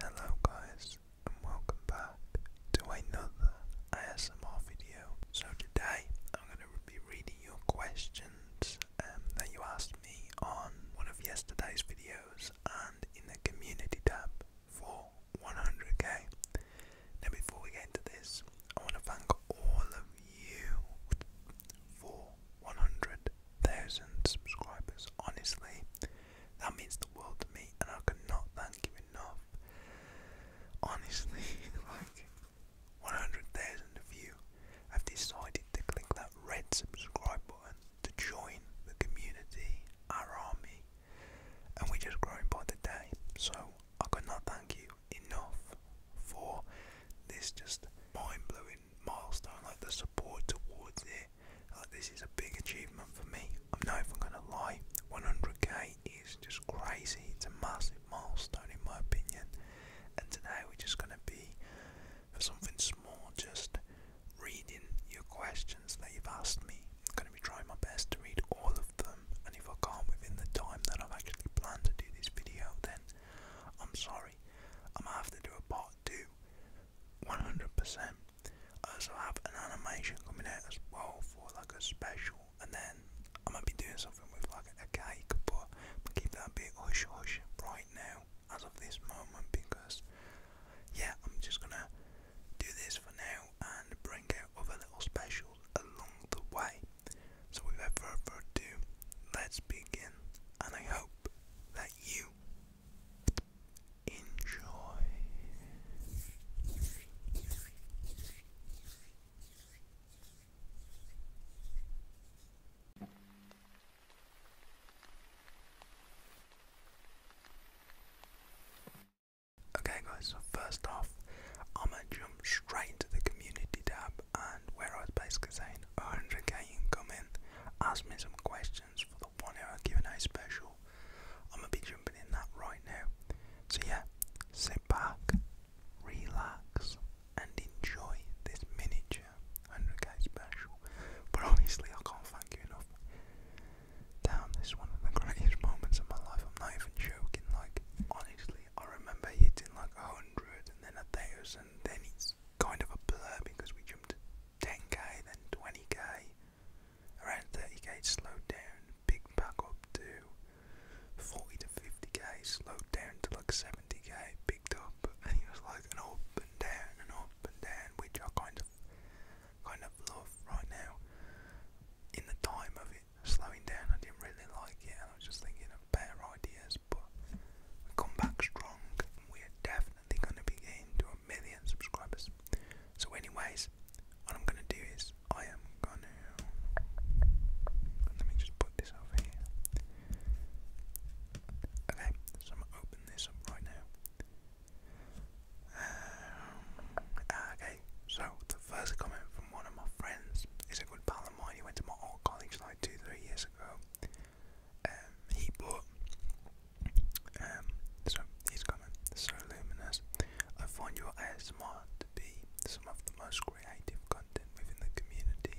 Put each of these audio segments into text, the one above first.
Hello, guys, and welcome back to another ASMR video. So today I'm going to be reading your questions um, that you asked me on one of yesterday's videos and in the community tab for 100k. Now before we get into this, I want to thank all of you for 100,000 subscribers. Honestly, that means the world to me and I cannot thank you enough. Honestly, like 100,000 of you have decided to click that red subscribe button to join the community, our army, and we're just growing by the day. So I could not thank you enough for this just mind blowing milestone, like the support towards it. Like, this is a big achievement for me. I'm not even gonna lie, 100k is just crazy. It's a massive milestone in my opinion. And today we're just gonna be for something small, just reading your questions that you've asked me. I'm gonna be trying my best to read all of them, and if I can't within the time that I've actually planned to do this video, then I'm sorry. I'm gonna have to do a part two, 100%. I also have an animation coming out as well for like a special, and then I might be doing something with like a cake, but I'll keep that a bit hush hush right now as of this moment because yeah, I'm just gonna do this for now and bring out other little specials along the way. So without further ado, let's begin, and I hope that you Enjoy. Okay, guys, so first off, I'm gonna jump straight into the community tab and where I was basically saying 100k incoming. Ask me some questions for the one hour q special. I'm gonna jumping in that right now. So yeah, sit back, relax, and enjoy this miniature 100 special. But honestly, I can't thank you enough. Damn, this is one of the greatest moments of my life. I'm not even joking. Like, honestly, I remember hitting like a hundred, and then a thousand, and then it's kind of a blur because we jumped 10k, then 20k, Around 30k slowed down, big back up to 40 to 50k, slowed down to like 70k, picked up, and it was like an up and down and up and down, which I kind of kind of love right now. In the time of it slowing down, I didn't really like it, and I was just thinking of better ideas. But we come back strong, and we are definitely going to be getting to a million subscribers. So, anyways, what I'm gonna do is I am gonna let me just put this over here. Okay, so I'm gonna open this up right now. Um, ah, okay, so the first comment from one of my friends is a good pal of mine. He went to my old college like two, three years ago. Um, he bought um, so he's coming so luminous. I find your ASMR to be some of the most creative content within the community.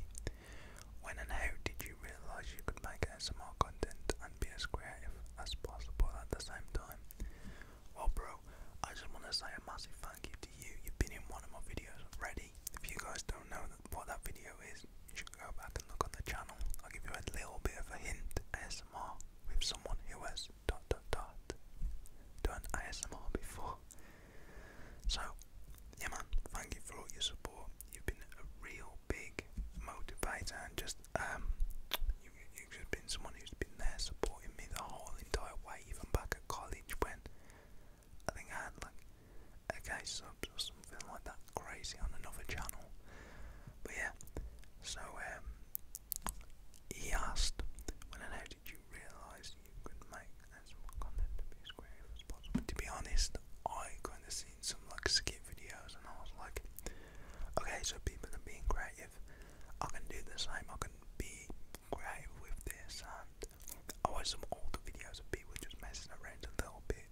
When and how did you realise you could make ASMR content and be as creative as possible at the same time? Well bro, I just want to say a massive thank you to you. You've been in one of my videos already. If you guys don't know what that video is, you should go back and look on the channel. I'll give you a little bit of a hint. ASMR with someone who was dot dot dot done ASMR before. So, yeah man, thank you for all your support. You've been a real big motivator and just um, you you've just been someone who's been there supporting me the whole entire way, even back at college when I think I had like a subs or something like that crazy on another channel. But yeah, so um he asked, When and how did you realise you could make as much content to be as creative as possible? To be honest, I kind of seen some like skit videos and I was like, okay, so people are being creative. I can do the same, I can be creative with this. And I watched some older videos of people just messing around a little bit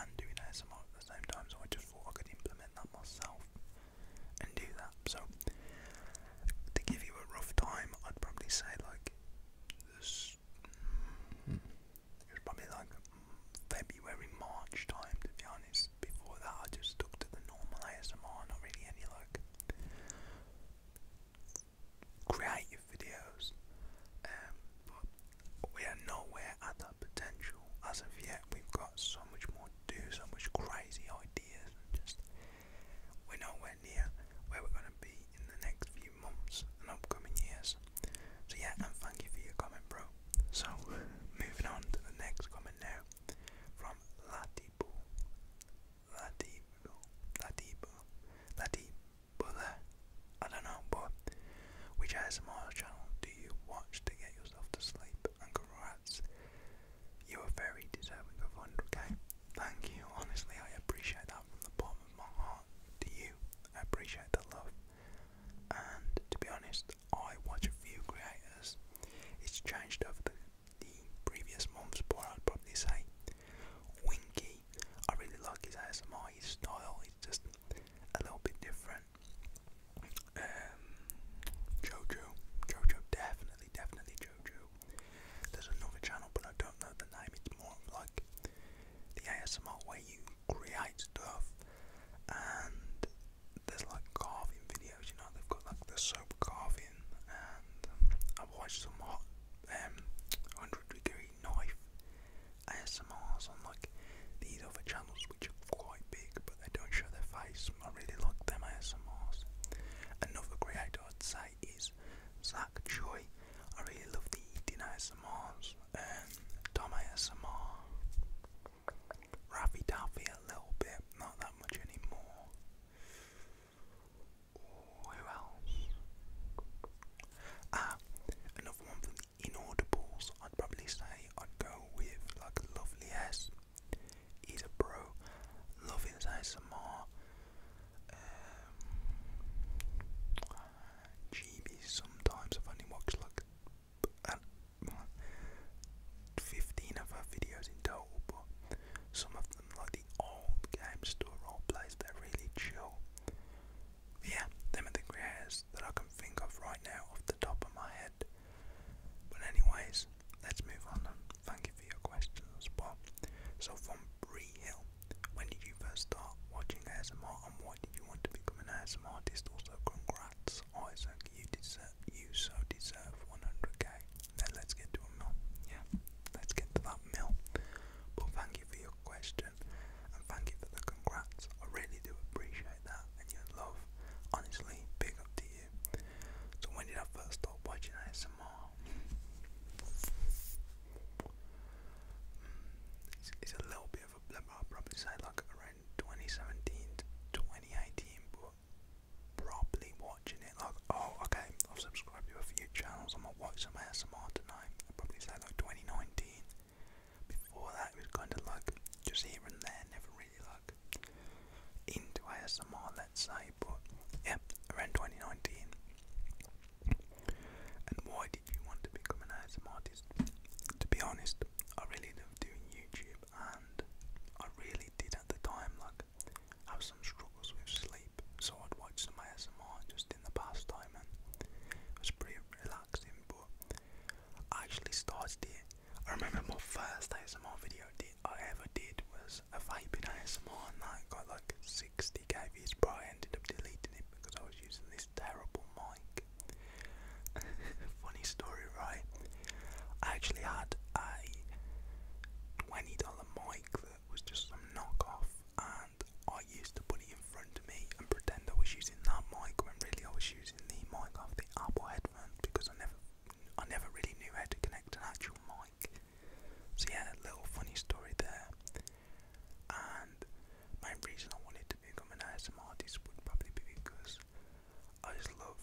and doing ASMR at the same time, so I just thought I could implement that myself and do that. So to give you a rough time, I'd probably say like this. it was probably like February, March time to be honest. Before that, I just stuck to the normal ASMR, not really any like creative videos. Um, but we are nowhere at that potential as of yet. We've got so much more to do, so much crazy ideas, just we're nowhere near where we're going to be in the next few months and upcoming years. So, yeah, and thank you for your comment, bro. So, moving on to the next comment now from Latibu. Latibu. Latibu. Latibu. I don't know, but which ASMR channel do you watch to get yourself to sleep? congrats. You are very deserving of 100k. Thank you. Honestly, I appreciate that from the bottom of my heart to you. appreciate the love. And to be honest, I watch a few creators. It's changed over the, previous months, but I'd probably say Winky. I really like his style. It's just a little bit different. Um, Jojo, Jojo, definitely, definitely Jojo. There's another channel, but I don't know the name. It's more like the ASMR where you create stuff, and there's like carving videos. You know, they've got like the soap carving, and I've watched some hot 100 um, degree knife ASMRs on like these other channels, which are quite big, but I don't show their face. I really like them ASMRs. Another creator I'd say is Zach Joy. I really love the eating ASMRs. Um, Tom ASMR. Raffy Daffy a little bit, not that much anymore. who else? Ah, another one from the Inaudibles. I'd probably say I'd go with like Lovely S he's a bro, loving ASMR, um, GB sometimes, i only watched like uh, 15 of her videos in total, but some of them, like the old game store role plays, they're really chill. yeah, them are the creators that I can think of right now off the top of my head. But anyways, Let's move on Thank you for your questions, Bob. So from Bree Hill, when did you first start watching ASMR and why did you want to become an ASMR artist? Also, congrats, Isaac, you deserve, you so deserve 100k. Now let's get to a mill. Yeah, let's get to that mill. But thank you for your question and thank you for the congrats. I really do appreciate that and your love. Honestly, big up to you. So when did I first start watching ASMR? Hmm, it's, a little bit of a blip, I'll probably say like around 2017 to 2018, but probably watching it like, oh, okay, I've subscribed to a few channels, I'm gonna watch some ASMR tonight. probably say like 2019. Before that, it was kind of like just here and there, never really into ASMR, let's say, but yeah, around 2019. And why did you want to become an ASMR artist? To be honest, I really love doing YouTube, and I really did at the time, like, have some struggles with sleep, so I'd watch some ASMR just in the past time, and it was pretty relaxing, but I actually started it. I remember my first ASMR video I ever did was a vaping ASMR and that got like 60k views but I ended up deleting it because I was using this terrible mic. Funny story right? I actually had a $20 mic that was just some knockoff and I used to put it in front of me and pretend I was using that mic when really I was using the mic off the Apple headphones because I never I never really knew how to connect an actual mic. So yeah, a little funny story there. And my reason I wanted to become an ASMR artist would probably be because I just love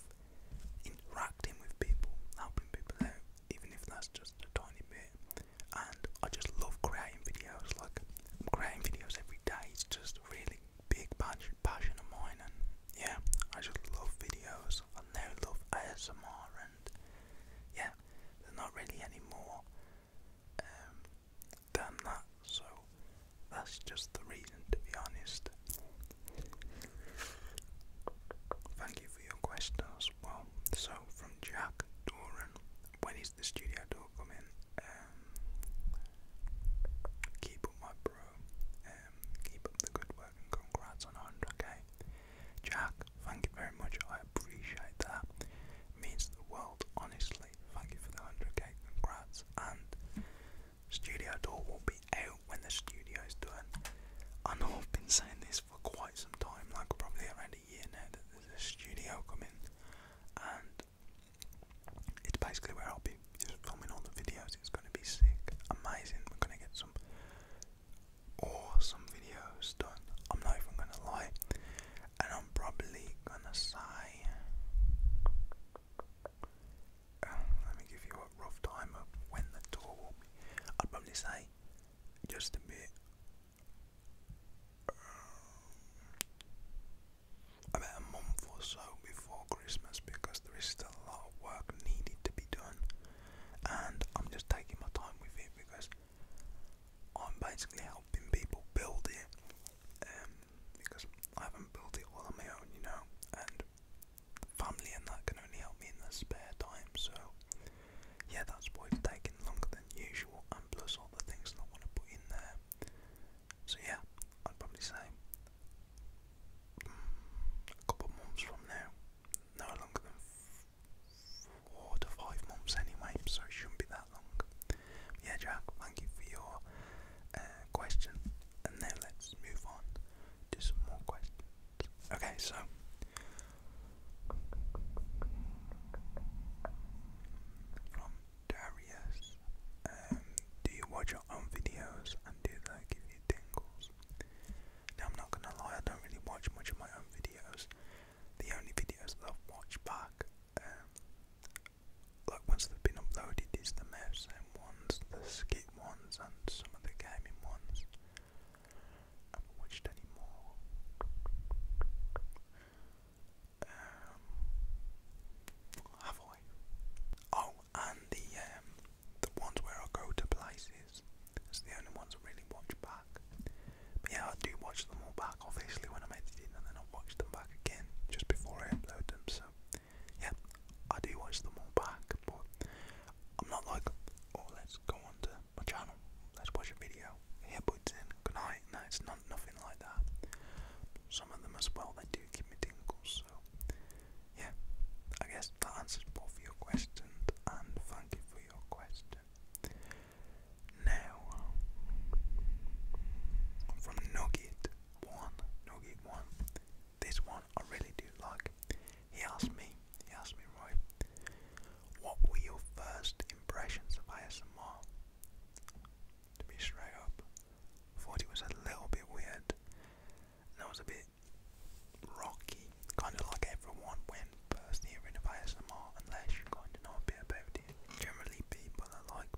interacting with people, helping people out, even if that's just a tiny bit. And I just love creating videos, like I'm creating videos every day, it's just a really big passion passion of mine, and yeah, I just love videos. I now love ASMR, and yeah, there's not really any more um, than that. So that's just the reason, to be honest. Thank you for your questions. well. So from Jack Doran, when is the studio door coming? Um, Keep up bro. Um, keep up the good work and congrats on 100k. Jack, thank you very much. I appreciate that. means the world, honestly. Thank you for the 100k. Congrats. And studio door will be out when the studio is I know I've been saying this for quite some time, like probably around a year now, that there's a studio coming. And it's basically where I'll be just filming all the videos. It's going to be sick, amazing. We're going to get some awesome videos done. I'm not even going to lie, and I'm probably going to say. Uh, let me give you a rough time when the tour will be. I'd probably say just a bit. Um, about a month or so before Christmas because there is still a lot of work needed to be done, and I'm just taking my time with it because I'm basically helping people build it um, because I haven't built it all on my own, you know, and family and that can only help me in their spare time, so yeah, that's why it's taking longer than usual, and plus all the things that I want to put in there. So yeah, I'd probably say a couple months from now, no longer than four to five months anyway, so it shouldn't be that long. Yeah, Jack, thank you for your uh, question, and now let's move on to some more questions. Okay, so. From Darius, um, do you watch your own videos and do that give you tingles. Now I'm not gonna lie, I don't really watch much of my own videos. The only videos I've watched back, um, like once they've been uploaded, is the and ones, the skit ones, and some of the gaming ones. I have watched any um, have I? Oh, and the um, the ones where I go to places. It's the only ones I really watch back. yeah, I do watch them all back, obviously, when I'm editing, and then I watch them back again just before I upload them. So yeah, I do watch them all back, but I'm not like, oh, let's go on my channel, let's watch a video, earbuds in, good night. No, it's not nothing like that. Some of them as well, they do give me tingles yeah, I guess that answers both your questions, and thank you for your question. Now, from Nugget One, Nugget One, this one I really do like. He asked me, he asked me, Roy, what were your first impressions of ASMR? To be straight up, thought it was a little bit weird and that was a bit rocky, kind of like everyone when first hearing of ASMR, unless you kind of know a bit about it. Generally, people are like,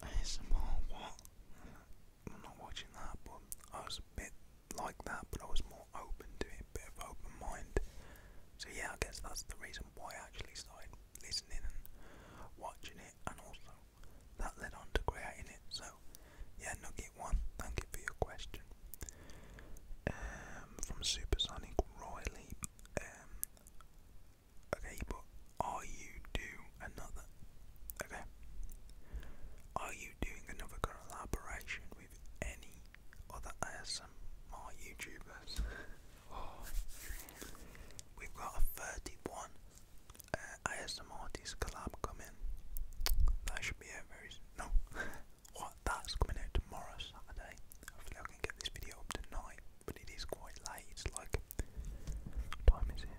ASMR, what? I'm not watching that, but I was a bit like that, but I was more open to it, a bit of open mind. So yeah, I guess that's the reason why I actually started listening and watching it, and also that led on to creating it. So, yeah, Nugget One, thank you for your question. Um, from Supersonic Royally, um, okay, but are you do another? Okay, are you doing another collaboration with any other ASMR YouTubers? Oh. we've got a 31 I uh, have some Artist collab coming. That should be it very soon. No. what? That's coming out tomorrow, Saturday. Hopefully I can get this video up tonight, but it is quite late. It's like, time is it?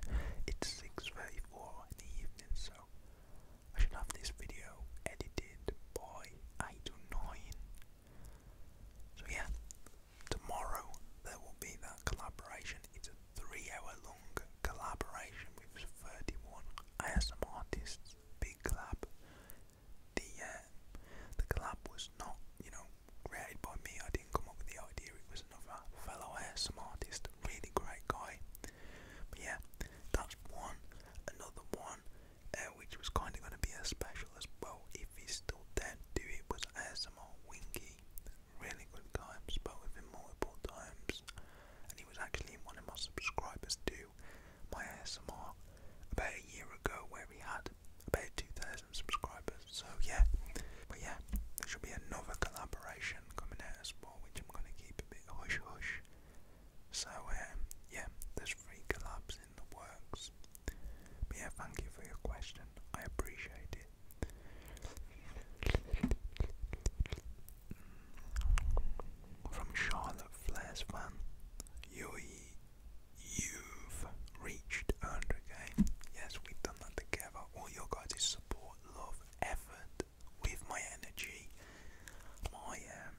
It's 6.34 in the evening, so I should have this video edited by 8 or 9. So yeah, tomorrow there will be that collaboration three-hour-long collaboration with 31 ASM artists. Big collab. The uh, the collab was not, you know, created by me. I didn't come up with the idea. It was another fellow ASM artist, really great guy. But yeah, that's one. Another one, uh, which was kind of going to be a special as well. If he's still dead, do it was ASMR Winky really good times, but with immortal times. And he was actually one of my subscribers to my ASMR about a year ago, where we had about 2,000 subscribers. So yeah, but yeah, there should be another collaboration coming out as well, which I'm going to keep a bit hush hush. So um, yeah, there's three collabs in the works. But yeah, thank you for your question. I appreciate it. From Charlotte Flair's you, have reached 100k. Yes, we've done that together. All your guys' support, love, effort, with my energy, my um,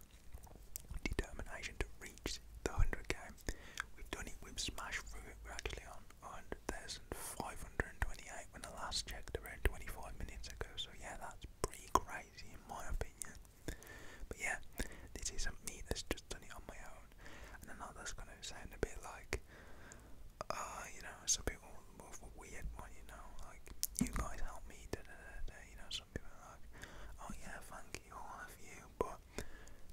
determination to reach the 100k. We've done it, we've smashed through it. We're actually on 100,528 when I last checked around 25 minutes ago, so yeah, that's pretty crazy in my opinion. But yeah, this is a me that's just done it on my own, and I that's going to sound a bit like, uh, you know, some people bit of a weird one, you know, like, you guys help me, da da da da, you know, some people are like, oh yeah, thank you, all of you, but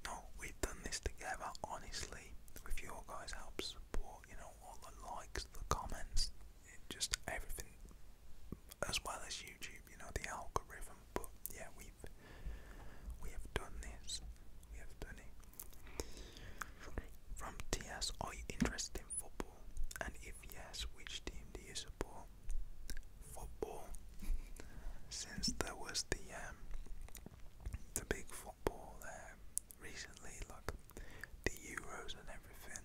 no, we've done this together, honestly, with your guys' help, support all you know all the likes, the comments, it just everything, as well as YouTube. You know the algorithm. But yeah, we've we have done this. We have done it. From TS, are you interested in football? And if yes, which team do you support? Football. Since there was the um, the big football um, recently, like the Euros and everything,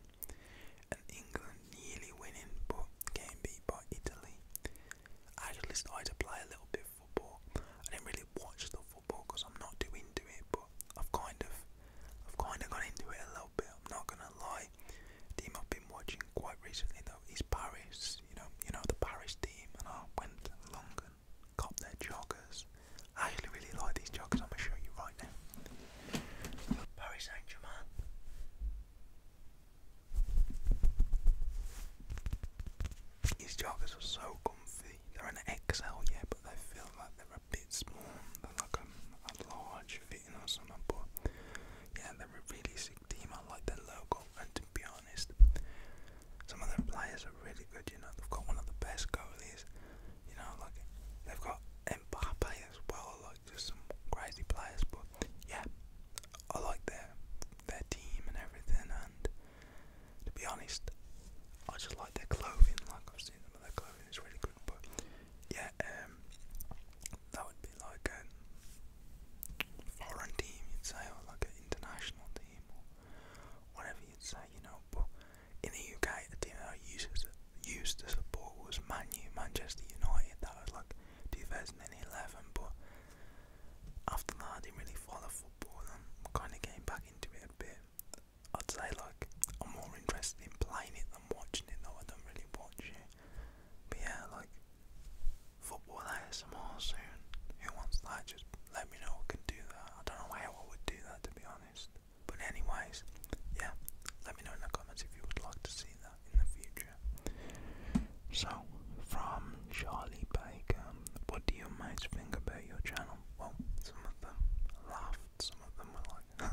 and England nearly winning but getting beat by Italy. I actually started to play a little bit of football. I didn't really watch the football because I'm not too into it, but I've kind of, I've kind of got into it a little bit. I'm not gonna lie. The team I've been watching quite recently though is Paris. You know, you know the Paris team, and I went along got their joggers. I actually really like these joggers, I'm going to show you right now. Paris Saint Germain. These joggers are so comfy. They're an XL, yeah, but they feel like they're a bit small. They're like a, a large fitting or something, but yeah, they're a really sick team. I like their logo, and to be honest, some of them players are really good, you know. They've got one of the best goalies, you know. Like they've got Mbappe as well, like just some crazy players. But yeah, I like their their team and everything. And to be honest, I just like their clothing. Like I've seen them, their clothing is really good. But yeah, um, that would be like a foreign team, you'd say, or like an international team. Or whatever you'd say, you know. But in the UK, the team that I used to, used to support was Man U, Manchester United. That was like 2011. But after that, I didn't really follow football and kind of came back into it a bit. I'd say like I'm more interested in playing it than watching it, though I don't really watch it. But yeah, like football ASMR soon. Who wants that? Just let me know. I can do that. I don't know why I would do that to be honest. But anyways, yeah, let me know in the comments if you would like to see that in the future. So, from Charlie Baker, what do you mates think about your channel? Well, some of them laughed, some of them were like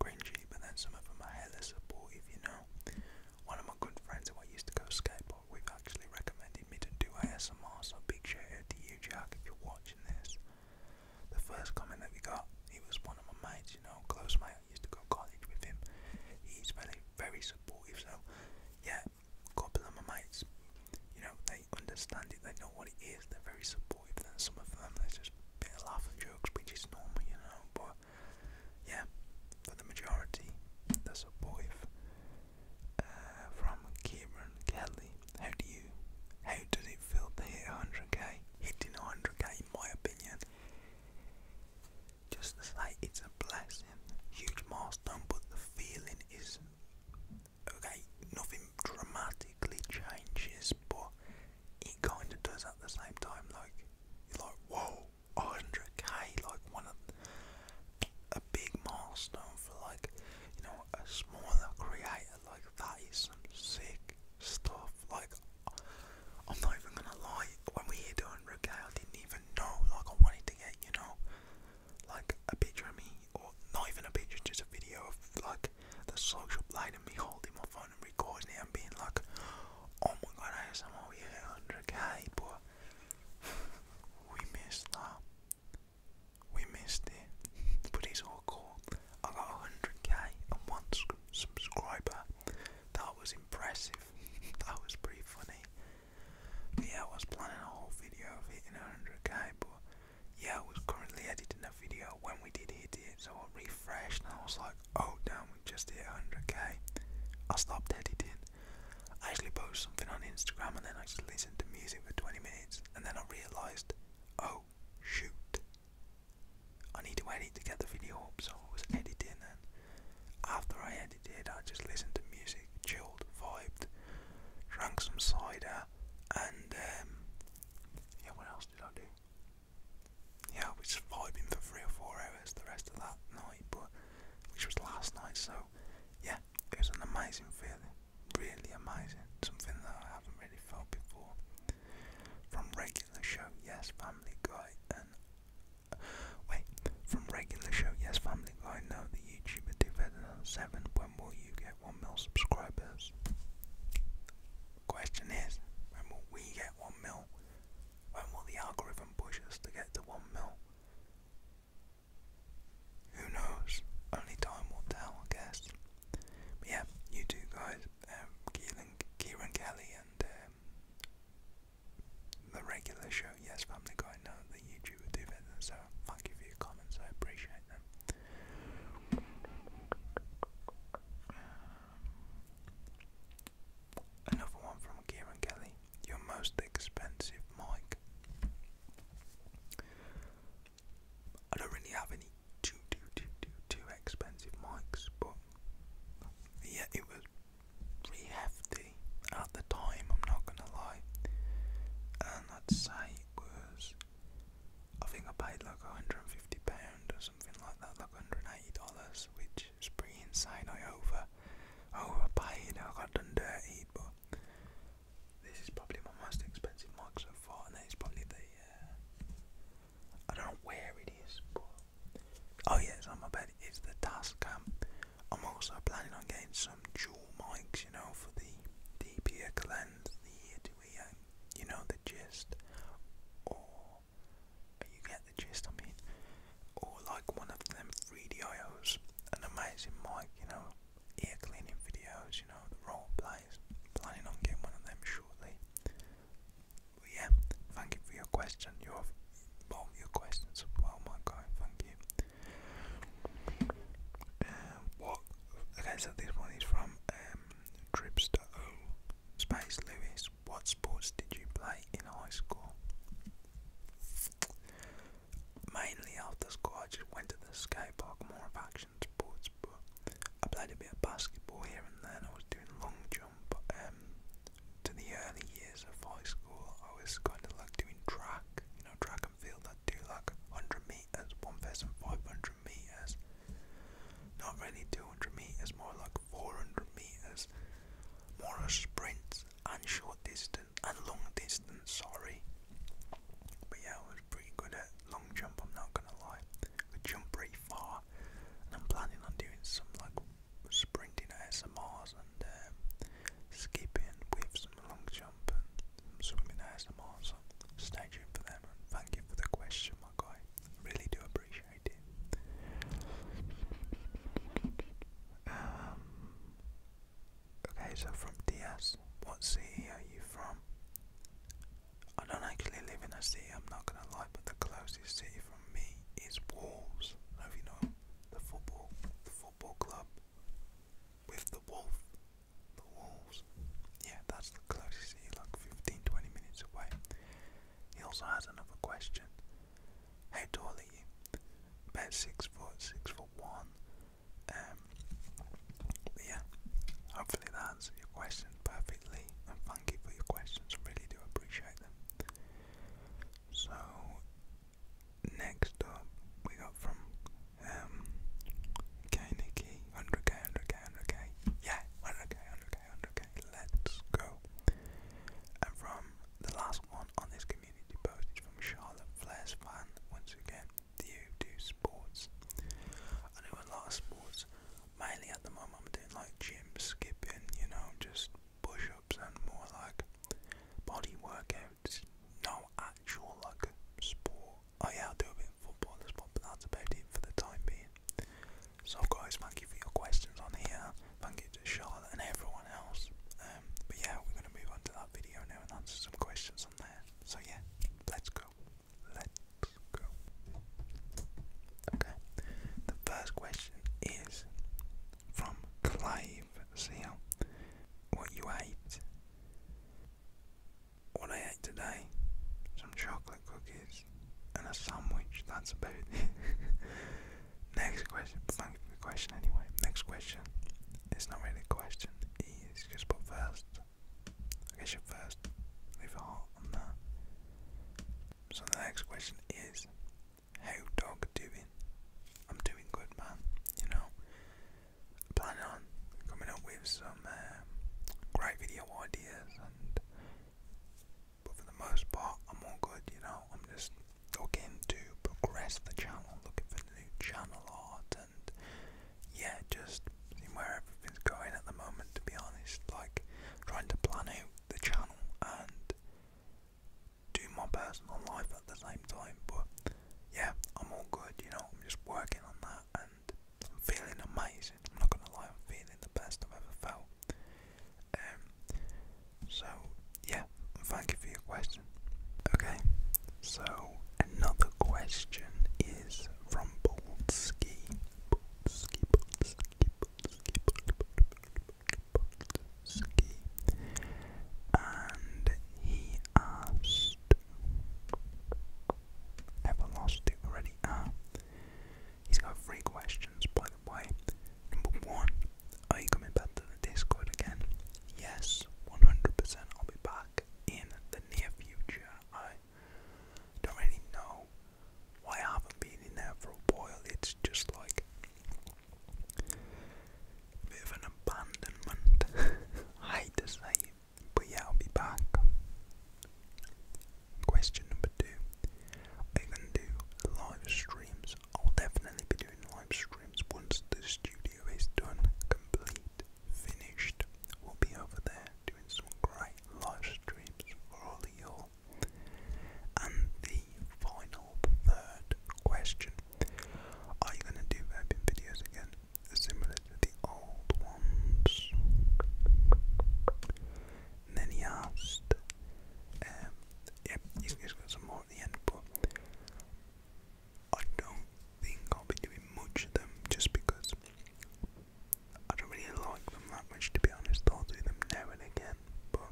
cringy, but then some of them are hella supportive, you know. One of my good friends who I used to go skateboard, we've actually recommended reminded me to do ASMR, so big shout out to you, Jack, if you're watching this. The first comment that we got, he was one of my mates, you know, close mate. I used to go to college with him. He's very, very supportive. So, yeah, a couple of my mates, you know, they understand it. They know what it is. They're very supportive. Then some of them, there's just a bit of laugh and jokes, which is normal, you know. But yeah, for the majority, they're supportive. Uh, from Cameron Kelly. How do you, how does it feel to hit 100k? Hitting 100k, in my opinion, just to say it's a blessing, huge milestone, but the feeling is okay, nothing dramatically changes, but it kind of does at the same time. Like, you're like, whoa, 100k, like one of a big milestone for like you know a smaller creator like that is some sick stuff. Like, I'm not even gonna lie, when we hit 100k, I didn't even know, like, I wanted to get, you know, like a picture of me, or not even a picture, just a video of, like, the social blade and me holding my phone and recording it and being like, oh my god, I have somehow we hit 100k, but we missed that. We missed it, but it's all cool. I got 100k and one subscriber. That was impressive. that was pretty funny. yeah, I was planning a whole video of hitting 100k, but yeah, I was currently editing a video when we did hit it, so I refreshed and I was like, oh damn, we just hit 100k. I stopped editing. I actually posted something on Instagram and then I just listened to music for 20 minutes and then I realised, oh shoot, I need to edit to get the video up, so I was editing, and after I edited, I just listened to music, chilled, vibed, drank some cider, and um, yeah, what else did I do? Yeah, I was vibing for three or four hours the rest of that night, but which was last night, so yeah, it was an amazing feeling really amazing, something that I haven't really felt before. From regular show, yes, Family Guy, and uh, wait, from regular show, yes, Family Guy. No, the YouTuber Seven. When will you get one mil subscribers? Question is, when will we get one mil? When will the algorithm push us to get to one mil? Who knows? Only time will tell, I guess. yeah, you guys, um, Kieran Kelly and um, the regular show, yes, Family Guy, know that you two so thank you for your comments, I appreciate them. Another one from Kieran Kelly. Your most expensive mic. I don't really have any too too too too too expensive mics, but yeah, it was pretty hefty at the time. I'm not gonna lie, and I'd say it was. I think I paid like 150 pound or something like that, like 180 dollars, which is pretty insane. I over overpaid. I got done dirty, but this is probably my most expensive mic so far, and that is probably the. Uh, I don't know where it is, but oh yeah, it's on my bed. It's the Tascam. I'm also planning on getting some dual mics, you know, for the DPX lens, the ear to you know, the gist, or you get the gist. I mean, or like one of them 3DIOs, an amazing mic, you know ear cleaning videos, you know, the role plays. Planning on getting one of them shortly. But yeah, thank you for your question. Your well, your questions as my guy. Thank you. Um, okay, so this one is from Tripster um, Space Lewis. What sports did you play in high school? mainly after school I just went to the skate park, more of action sports, but I played a bit of basketball here and there I was doing long jump. Um, to the early years of high school I was kind of like doing track, you know, track and field, I'd do like 100 metres, 1,500 metres, not really 200 metres, more like 400 metres, more of sprints and short distance and long distance, sorry. But yeah, I was pretty good at long jump, I'm not gonna lie. I jump pretty far, and I'm planning on doing some like sprinting ASMRs and um, skipping with some long jump and some swimming ASMRs. So stay tuned for them and thank you for the question, my guy. Really do appreciate it. Um, Okay, so from DS, what city are you from? I don't actually live in a city, I'm not gonna lie, but the closest city from me is Wolves. I do you know the football, the football club with the wolf, the wolves. Yeah, that's the closest city, like 15, 20 minutes away. He also has another question. Hey, Dolly, you? About six foot, six foot one. Um, yeah, hopefully that answered your questions perfectly, thank you for your questions. I really do appreciate them. So next up, we got from um, Kainiki, 100k, 100k, 100k. Yeah, 100k, 100k, 100k. Let's go. And from the last one on this community post is from Charlotte Flair's fan once again you do sports? I do a lot of sports. Mainly at the moment I'm doing like gym skipping, you know, just push ups and more like body workouts. No actual like sport. Oh yeah, I do a bit of football as well, but that's about it for the time being. So guys, thank you for your questions on here. Thank you to Charlotte and everyone else. Um, but yeah, we're going to move on to that video now and answer some questions on there so yeah, let's go. Let's go. Okay. The first question is from Clive Seal. What you ate? What I ate today? Some chocolate cookies and a sandwich. That's about it. Next question. Thank you for the question anyway. Next question. It's not really a question just put first. I guess you're first. Leave a on that. So the next question is, how dog doing? I'm doing good, man. You know, planning on coming up with some um, great video ideas, and but for the most part, I'm all good. You know, I'm just looking to progress the channel, looking for new channel art yeah, just where everything's going at the moment. To be honest, like trying to plan out the channel and do my personal life at the same time. But yeah, I'm all good. You know, I'm just working on that, and I'm feeling amazing. I'm not gonna lie, I'm feeling the best I've ever felt. Um. So yeah, thank you for your question. Okay, so another question is from Boltsky. Boltsky, Boltsky, Boltsky, Boltsky, Boltsky. And he asked, have lost it already? Ah, he's got three questions, by the way. Number one, are you coming back to the Discord again? Yes, 100%. I'll be back in the near future. I don't really know why I haven't been in there for a while. It's just like an abandonment. I hate to but yeah, I'll be back. Question number two. Are you do live streams? I'll definitely be doing live streams bedrooms once the studio is done, complete, finished. We'll be over there doing some great live streams for all of you And the final third question. Are you gonna do vaping videos again? Similar to the old ones. then he asked, um, yep, he's got some more at the end, but I don't think I'll be doing much of them just because I don't really like them that much to be honest. I'll do them now again, but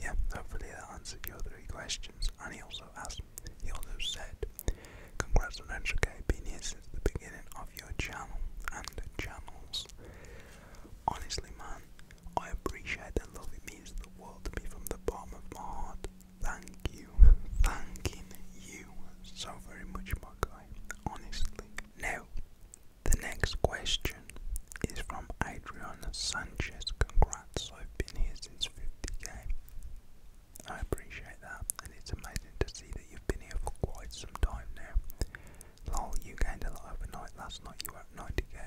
yeah, hopefully that answered your three questions. And he also asked, he also said, Congrats on K being here the beginning of your channel and channels. Honestly, man, I appreciate the love. It means the world to me from the bottom of my heart. Thank you, thanking you so very much, my guy. Honestly. Now, the next question is from Adriana Sanchez. Congrats, I've been here since 50k. I appreciate that, and it's amazing to see that you've been here for quite some time now. Lol, you gained a lot overnight. Last night you were at 90k.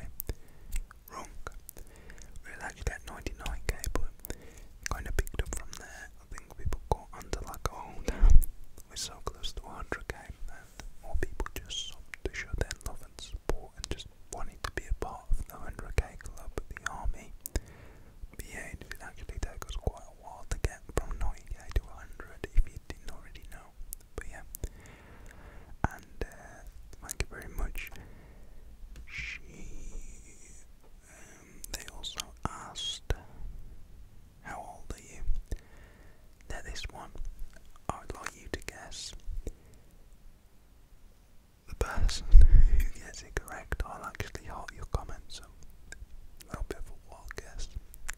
Wrong. It actually at 99k, but kind of picked up from there. I think people got under like, oh we're so close to 100k, and more people just to show their love and support and just wanted to be a part of the 100k club, the army. But yeah, it actually take us quite a while to get from 90k to 100 if you didn't already know. But yeah, and uh, thank you very much. She they also asked, How old are you? Now, this one, I would like you to guess the person who gets it correct. I'll actually heart your comments. So, a little bit of a wild guess.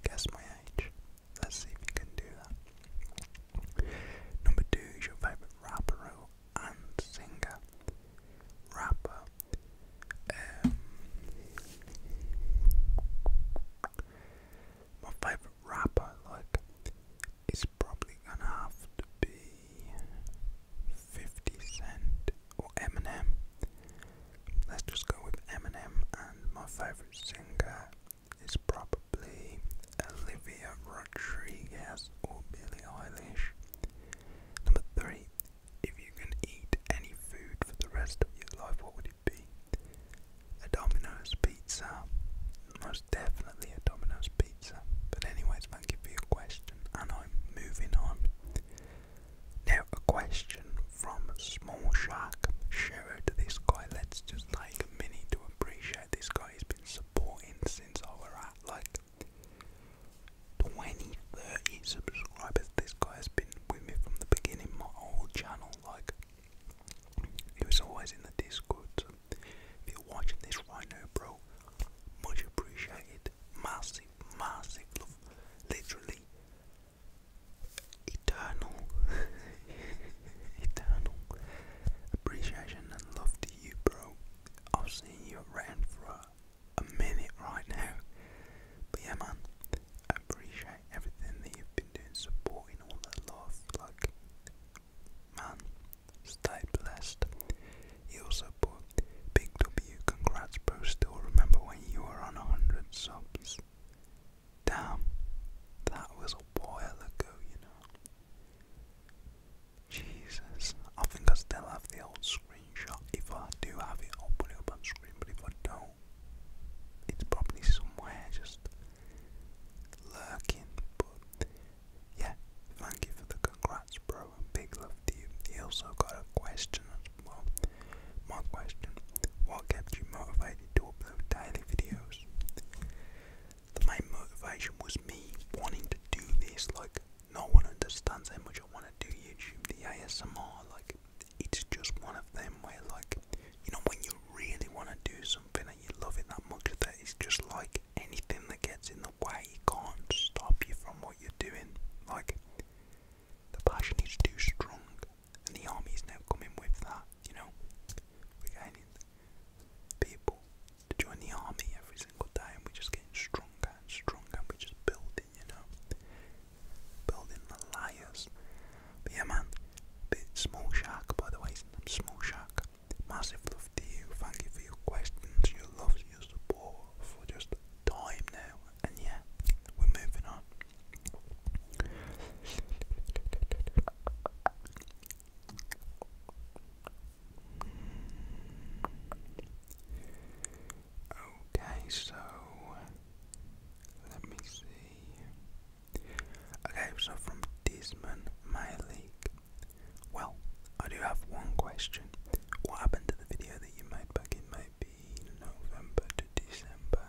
Guess my age. Let's see if you can do that. Number two is your favourite rapper and singer, rapper, um, my favourite rapper, like, is probably gonna have to be 50 Cent or Eminem. Let's just go with Eminem, and my favourite singer is probably Olivia Rodriguez or Billie Eilish. Number three, if you can eat any food for the rest of your life, what would it be? A Domino's pizza. Most definitely a Domino's pizza. But anyways, thank you for your question and I'm moving on. Now a question from Small Shark. Shout out to this guy. Let's just like a minute to appreciate this guy. He's been supporting since I like 20, subscribers. This guy has been with me from the beginning, my whole channel. Like, he was always in the Discord. So if you're watching this right now, bro, much appreciated. Massive, massive love. Literally, eternal, eternal appreciation and love you, bro. I've seen you around for a, minute right now. But yeah, man, I appreciate everything that you've been doing, supporting all that love. Like, man, stay blessed. He also put Big W, congrats, bro. Still remember when you were on 100 subs. Damn, that was a while ago, you know. Jesus. I think I still have the old screenshot. If I do have it, I'll put it up on screen, but if I don't, it's probably somewhere just lurking. But yeah, thank you for the congrats, bro, and big love to you. He also got a question as well. My question What kept you motivated to upload daily videos? The main motivation was me wanting to do this, like, no one understands how much I want to do YouTube, the ASMR, like, it's just one of them where, like, you know, when you really want to do something and you love it that much, that it's just like anything that gets in the way can't stop you from what you're doing. Like, the passion is too strong, and the army is now coming with that, you know? we people to join the army every single day, and we're just getting stronger and stronger, and we're just building, you know, building the liars. But yeah, man, bit small shark, by the way, small shark. Massive love to you. Thank you for your questions, your love, your support for just time now. And yeah, we're moving on. Okay, so let me see. Okay, so from Desmond, my league. Well, I do have one question. What happened to the video that you made back in maybe November to December?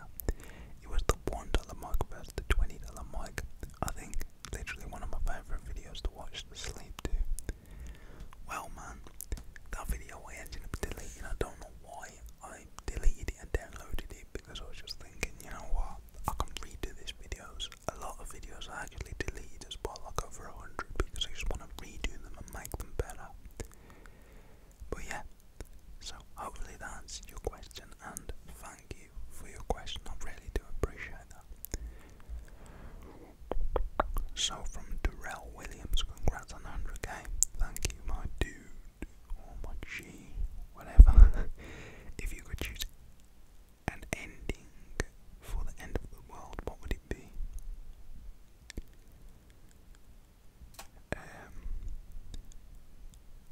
It was the one dollar mic versus the twenty dollar mic. I think literally one of my favorite videos to watch to sleep to. Well, man, that video I ended up deleting. I don't know why I deleted it and downloaded it because I was just thinking, you know what, I can redo these videos. A lot of videos I actually delete as well, like over a hundred, because I just want to redo them and make them better. But yeah, so hopefully that answered your question, and thank you for your question. I really do appreciate that. So from Darrell Williams, congrats on 100k. Thank you, my dude, or my G, whatever. if you could choose an ending for the end of the world, what would it be? Um.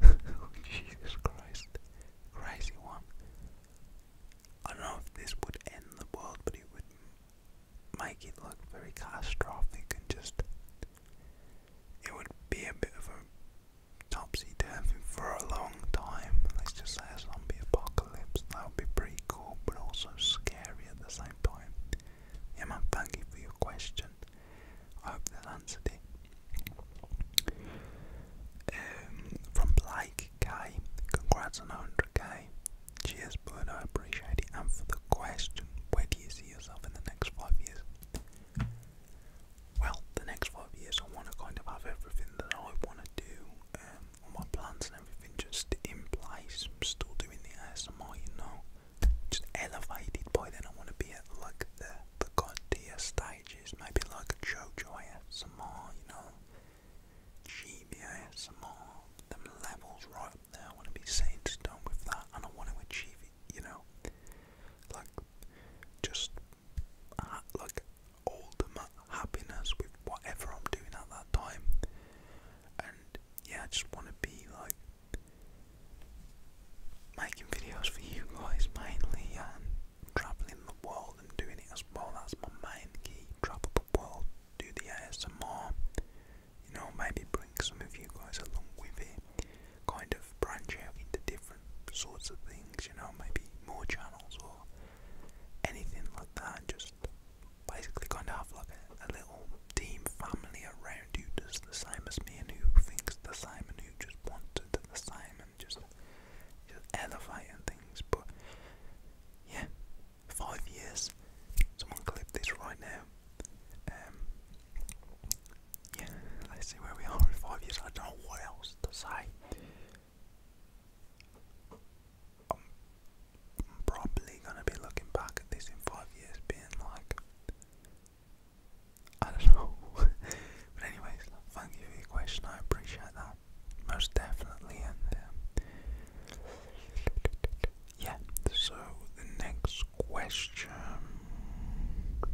Oh, Jesus Christ. Crazy one. I don't know if this would end the world, but it would make it look very catastrophic and just. It would be a bit of a topsy turvy for a long time. Let's just say a zombie apocalypse. That would be pretty cool, but also scary at the same time. Yeah, man, thank you for your question. I hope that answered it. Um, from Blake guy. Congrats on 100k. Cheers, Bruno. I appreciate it. And for the question, where do you see yourself in the next five years? Well, the next five years, I want to kind of have everything that I want to do, um, my plans and everything just in place. I'm still doing the ASMR, you know, just elevate elevated by then. I want to be at like the the god tier stages, maybe like a JoJo ASMR, you know, GBASMR, them levels right up there, I want to be saint done with that, and I want to achieve it, you know, like, just, uh, like, ultimate happiness with whatever I'm doing at that time, and, yeah, I just want to be, like, making videos for you guys mainly, traveling the world and doing it as well. That's my main key. Travel the world, do the ASMR. You know, maybe bring some of you guys along with it. Kind of branch out into different sorts of things. You know, maybe more channels or anything like that. Just basically kind of have like a, little team family around you, does the same as me and who thinks the same and who just wants to do the same and just, just elevating things but yeah, five years. Someone clip this right now. Um, yeah, let's see where we are five years. I don't know what else to say. I'm probably gonna be looking back at this in five years, being like, I don't know. but anyways, thank you for your question. I appreciate that most definitely in there. Uh, yeah, so the next question. Um,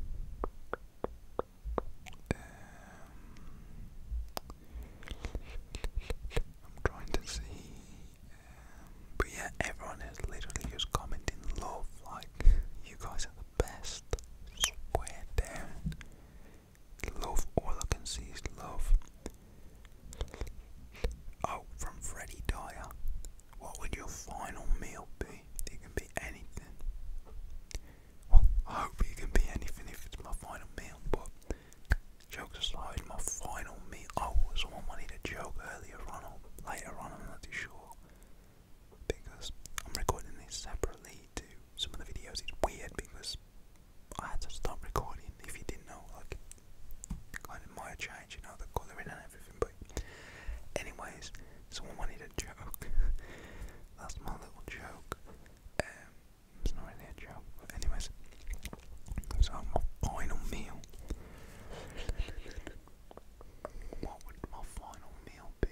I'm trying to see. Um, but yeah, everyone is literally just commenting love, like, you guys are the best. Swear down. Love, all I can see is love. Oh, from Freddie Dyer. What would your final meal be? It can be anything. I hope it can be anything if it's my final meal, but jokes aside, my final meal. Oh, someone wanted a joke earlier on or later on, I'm not too sure. Because I'm recording this separately to some of the videos. It's weird because I had to stop recording if you didn't know, like, kind of might change, you know, the colouring and everything, but anyways, someone wanted a joke, that's my little joke, um, it's not really a joke, but anyways, so my final meal, what would my final meal be?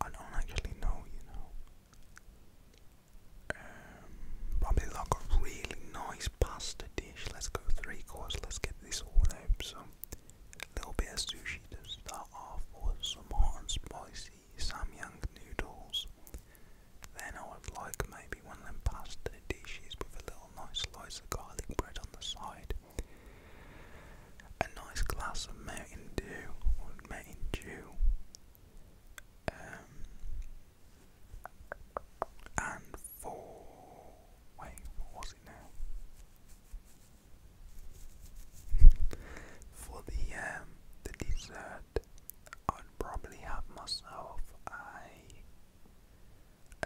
I don't actually know, you know. Um, probably like a really nice pasta dish. Let's go three courses. Let's get this all out. So, little bit of sushi to start off, with. some hot and spicy some young noodles. Then I would like maybe one of them pasta dishes with a little nice slice of garlic bread on the side. A nice glass of Mountain Dew Mountain Dew. Um, and for wait, what was it now? for the um, the dessert, I'd probably have myself a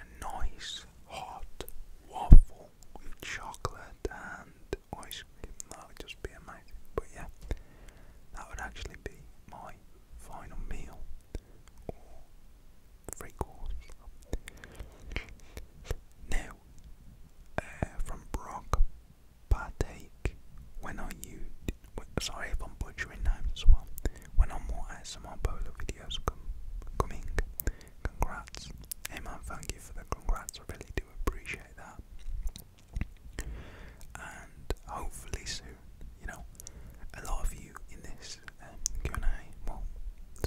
a nice hot waffle chocolate and ice cream. That would just be amazing. But yeah, that would actually be my final meal or three Now, uh, from Brock, partake when I use. Sorry if I'm as well. When i more ASMR Bolo videos come coming, Congrats. Hey man, thank you for the congrats. I really do appreciate that. And hopefully soon, you know, a lot of you in this um, Q&A, well,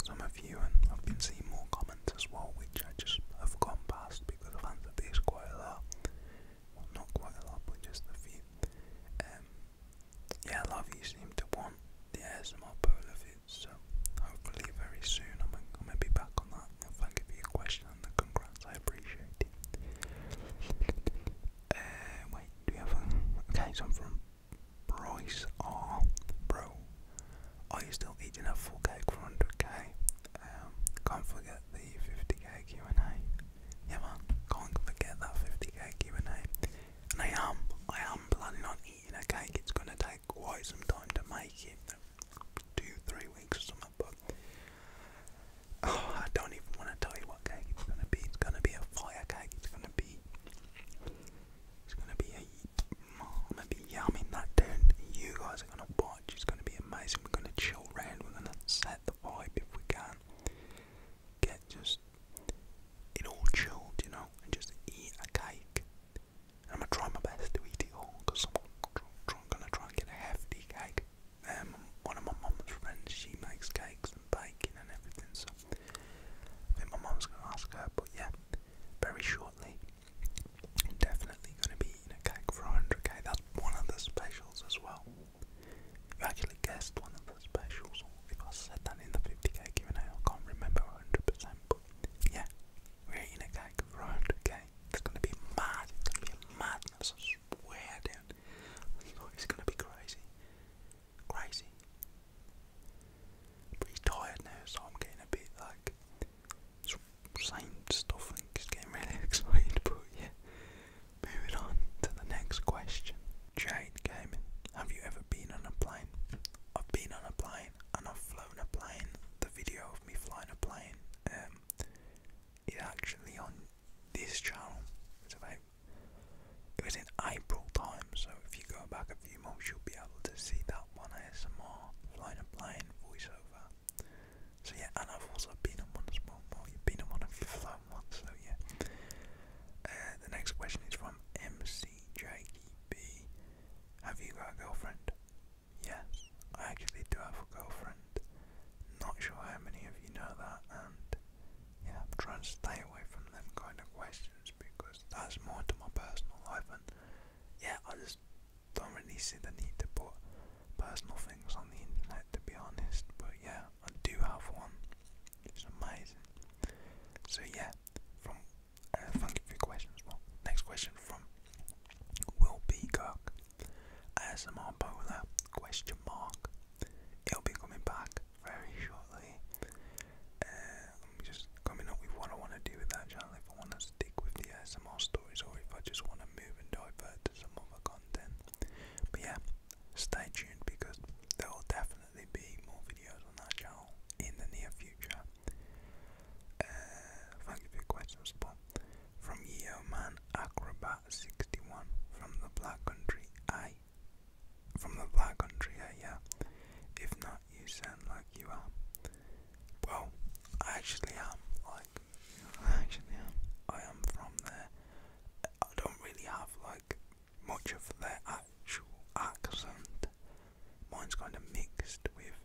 some of you, and I've been seeing more comments as well, which I just have gone past because I've answered these quite a lot. Well, not quite a lot, but just a few. Um, yeah, a lot of you seem to want the ASMR polar so hopefully very soon I'm, gonna be back on that. If I give you a question and the congrats, I appreciate it. Uh, wait, do you have okay? So from Bryce R, bro. Are you still eating a full cake for 100 um, can't forget the 50k Q and A. Yeah man, can't forget that 50k Q and A. And I am, I am planning on eating a cake, it's going to take quite some time to make it, two, three weeks or something, but oh, I don't even want to tell you what cake it's going to be, it's going to be a fire cake, it's going to be, it's going to be a, going to be yamming that down, you guys are going to watch, it's going to be amazing, we're going to chill around, we're going to set the vibe if we can, get just, it all chilled, you know, and just eat a cake I'm gonna try my best to eat it all because I'm gonna try and get a hefty cake. Um, one of my mom's friends, she makes cakes and baking and everything, so I think my mom's gonna ask her. But yeah, very shortly, definitely gonna be eating a cake for 100k. That's one of the specials as well. You actually guessed one of the specials, or if I said that in the 50k Q&A, I can't remember 100%. But yeah, we're in a like round, okay? It's gonna be mad, it's gonna be a I swear dude. It's gonna be crazy. Crazy. I'm tired now, so I'm getting a bit like saying stuff and just getting really excited, but yeah. Moving on to the next question. Jade Gaming, have you ever been on a plane? I've been on a plane and I've flown a plane. The video of me flying a plane um, It's actually on this channel. It's about it was in April time, so if you go back a few months, you'll be able to see that one ASMR flying a plane voiceover. So yeah, and I've also been on one as well. you've been on one if you've flown one, so yeah. Uh, the next question is from MC have you got a girlfriend? Yeah, I actually do have a girlfriend. Not sure how many of you know that, and yeah, I'm trying to stay away from them kind of questions because that's more to my personal life, and yeah, I just don't really see the need to put personal things on the internet to be honest. But yeah, I do have one. It's amazing. So yeah, from uh, thank questions. Well, next question from Will B. Kirk. ASMR bowler? Question mark. It'll be coming back very shortly. Uh, i just coming up with what I want to do with that channel. If I want to stick with the ASMR stories, or if I just want to move and divert to some other content. But yeah, stay tuned because there will definitely be more videos on that channel in the near future. Uh, thank you for your questions, Paul. From Yeoman Acrobat 61 from the Black Country, I. From the Black Country, I, yeah. If not, you sound like you are. Well, I actually am. Like, I actually am. I am from there. I don't really have like much of their actual accent mine's kind of mixed with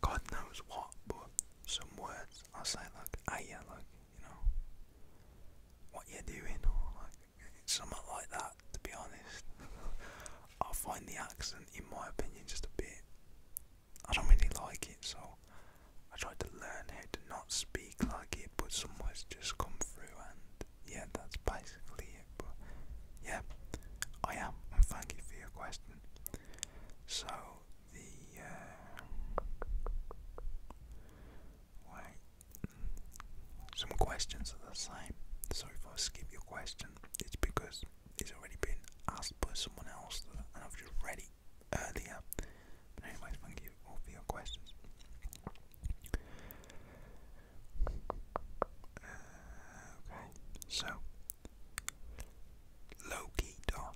God knows what, but some words i say like, hey, yeah, like, you know, what you are doing, or like, it's something like that, to be honest. I find the accent, in my opinion, just a bit, I don't really like it, so I try to learn how to not speak like it, but some words just come through, and yeah, that's basically it yeah, I am, thank you for your question. So the uh, wait, some questions are the same. So if I skip your question, it's because it's already been asked by someone else, and I've just ready earlier. But anyway, thank you all for your questions. Okay, so Loki dot.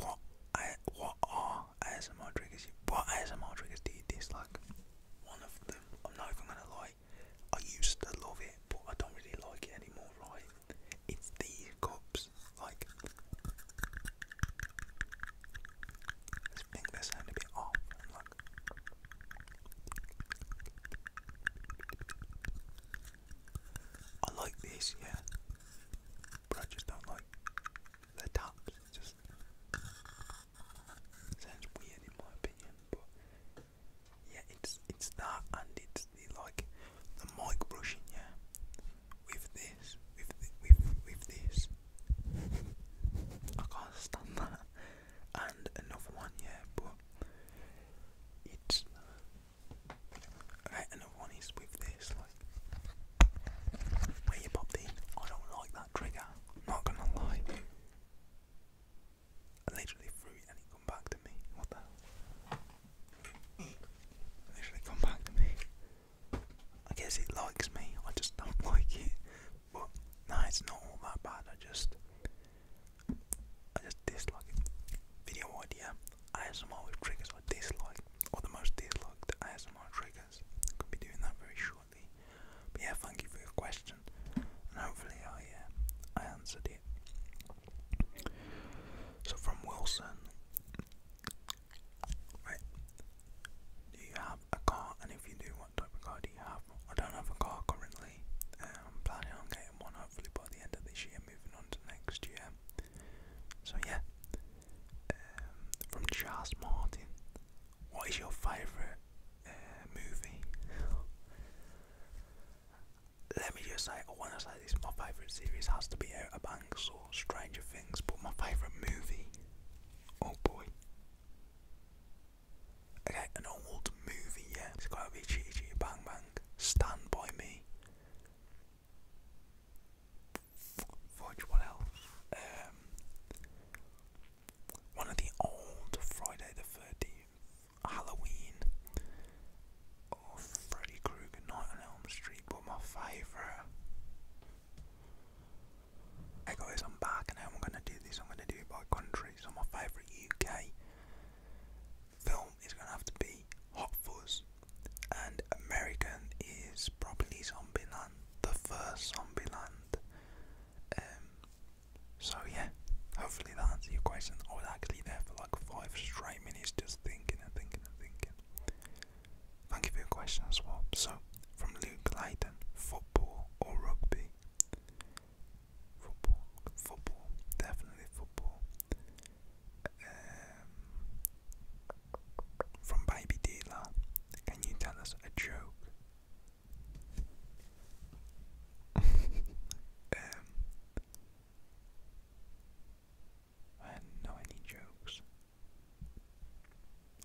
What I what are ASMR triggers? What ASMR triggers do you dislike? One of them. I'm not even gonna lie. I used to love it, but I don't really like it anymore. Right? It's these cups. like, I like this, yeah, but I just don't like the taps. It just sounds weird in my opinion, but yeah, it's it's that and it's the like the mic brushing, yeah, with this, with with with this. I can't stand that and another one, yeah, but it's Another one is with this, like you popped in. I don't like that trigger. not gonna lie. literally threw it and it come back to me. What the hell? literally come back to me. I guess it likes me. I just don't like it. But no, it's not all that bad. I just I just dislike it. Video idea, ASMR with triggers I dislike, or the most disliked ASMR triggers. Could be doing that very shortly. But yeah, thank you for your question, and hopefully I, uh, I answered it. So from Wilson, right? Do you have a car? And if you do, type of car do you have? I don't have a car currently. am um, planning on getting one hopefully by the end of this year, moving on to next year. So yeah. Um, from Charles Martin, what is your favourite uh, movie? Let me just say, I want to say this, my favourite series has to be Outer Banks or Stranger Things, but my favourite movie, oh boy, Okay, an old movie, yeah. It's gotta be Chee Chee Bang Bang. Stand by me. Fudge, what else? Um, one of the old Friday the 13th, Halloween, oh, Freddy Krueger, Night on Elm Street, but my favourite. Hey guys, I'm back and now I'm going to do this. I'm going to do by country. So, my favourite UK film is gonna have to be Hot Fuzz, and American is probably Zombieland, the first Zombieland. Um, so yeah, hopefully that answers your question. I was actually there for like five straight minutes just thinking and thinking and thinking. Thank you for your question as well. So, from Luke Layton, football or rugby? football, football, definitely football. Um, from Baby Dealer, can you tell us a joke? Um, I don't know any jokes.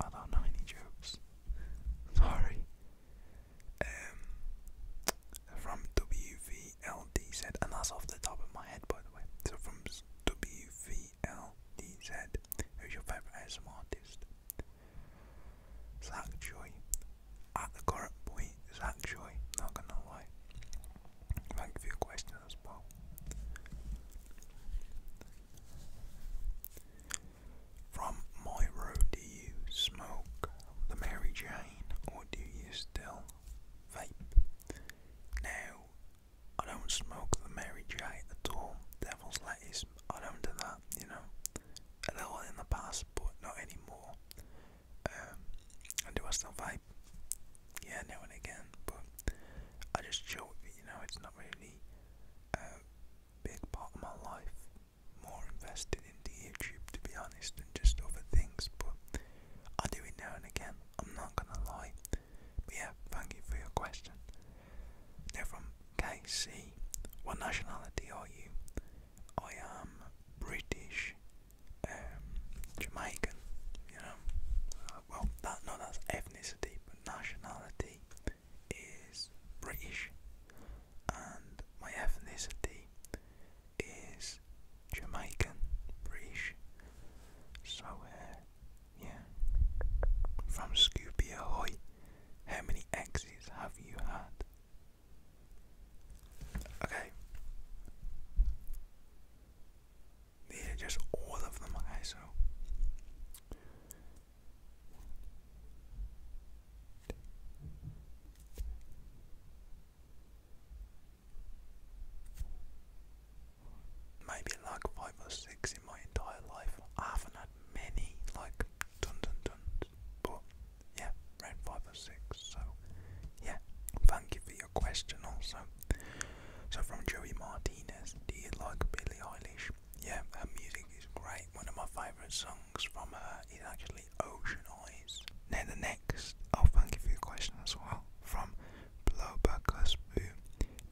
I don't know any jokes. Sorry. Um, from WVLDZ, and that's off the top of my head, by the way. So from WVLDZ, who's your favourite ASM artist? Zach Joy. At the current point, Zach Joy. Not gonna lie. Thank you for as well. From my road, do you smoke the Mary Jane or do you still vape? Now, I don't smoke the Mary Jane at all. Devil's lettuce, I don't do that, you know. A little in the past, but not anymore. Um, and do I still vape? Yeah, now and again, but I just joke you know, it's not really a uh, big part of my life more invested into YouTube to be honest than just other things, but I do it now and again, I'm not gonna lie. yeah, thank you for your question. Now from KC, what nationality are you? I am British, um, Jamaican, you know. Uh, well, that no, that's ethnicity, but nationality is British and my ethnicity is Jamaican, British. So, yeah. From Scooby Ahoy, how many exes have you had? Okay. These are just all of them, okay, so Maybe like five or six in my entire life. I haven't had many like dun dun duns, but yeah, around five or six. So yeah, thank you for your question also. So from Joey Martinez, do you like Billie Eilish? Yeah, her music is great. One of my favourite songs from her is actually ocean eyes. Now the next, oh thank you for your question as well, from Blowbackusboo.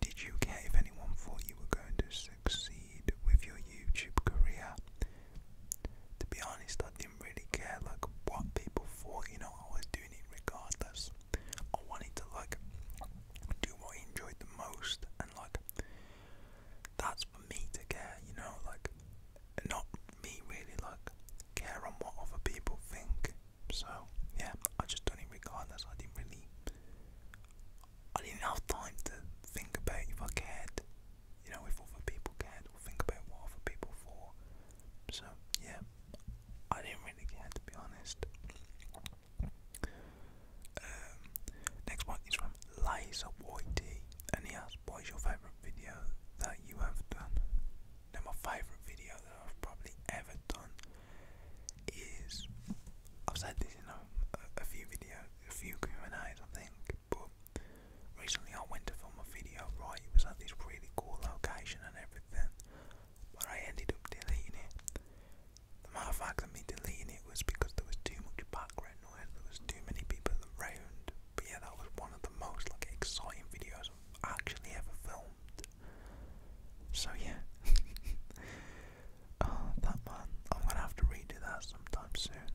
Did you care if anyone thought you were going to succeed with your YouTube career? To be honest, I didn't really care like what people thought, you know, I was doing it regardless. I wanted to like do what I enjoyed the most and like that's for me to care, you know, like not me really like care on what other people think. So yeah, I just done it regardless. I didn't really, I didn't have time to think about if I cared, you know, if other people cared or think about what other people thought. So yeah, I didn't really care to be honest. Um, next one is from Lays Up YT and he asked what is your favourite video that you have done. Now my favourite video that I've probably ever done is I've said this in a, a few videos, a few Q&As I think, but recently I went to film a video, right, it was at this really cool location and everything, but I ended up deleting it. The matter of fact of me deleting it was because there was too much background noise but too many people around. But yeah, that was one of the most like exciting videos I've actually ever filmed. So yeah. Oh, that man, I'm gonna have to redo that sometime soon.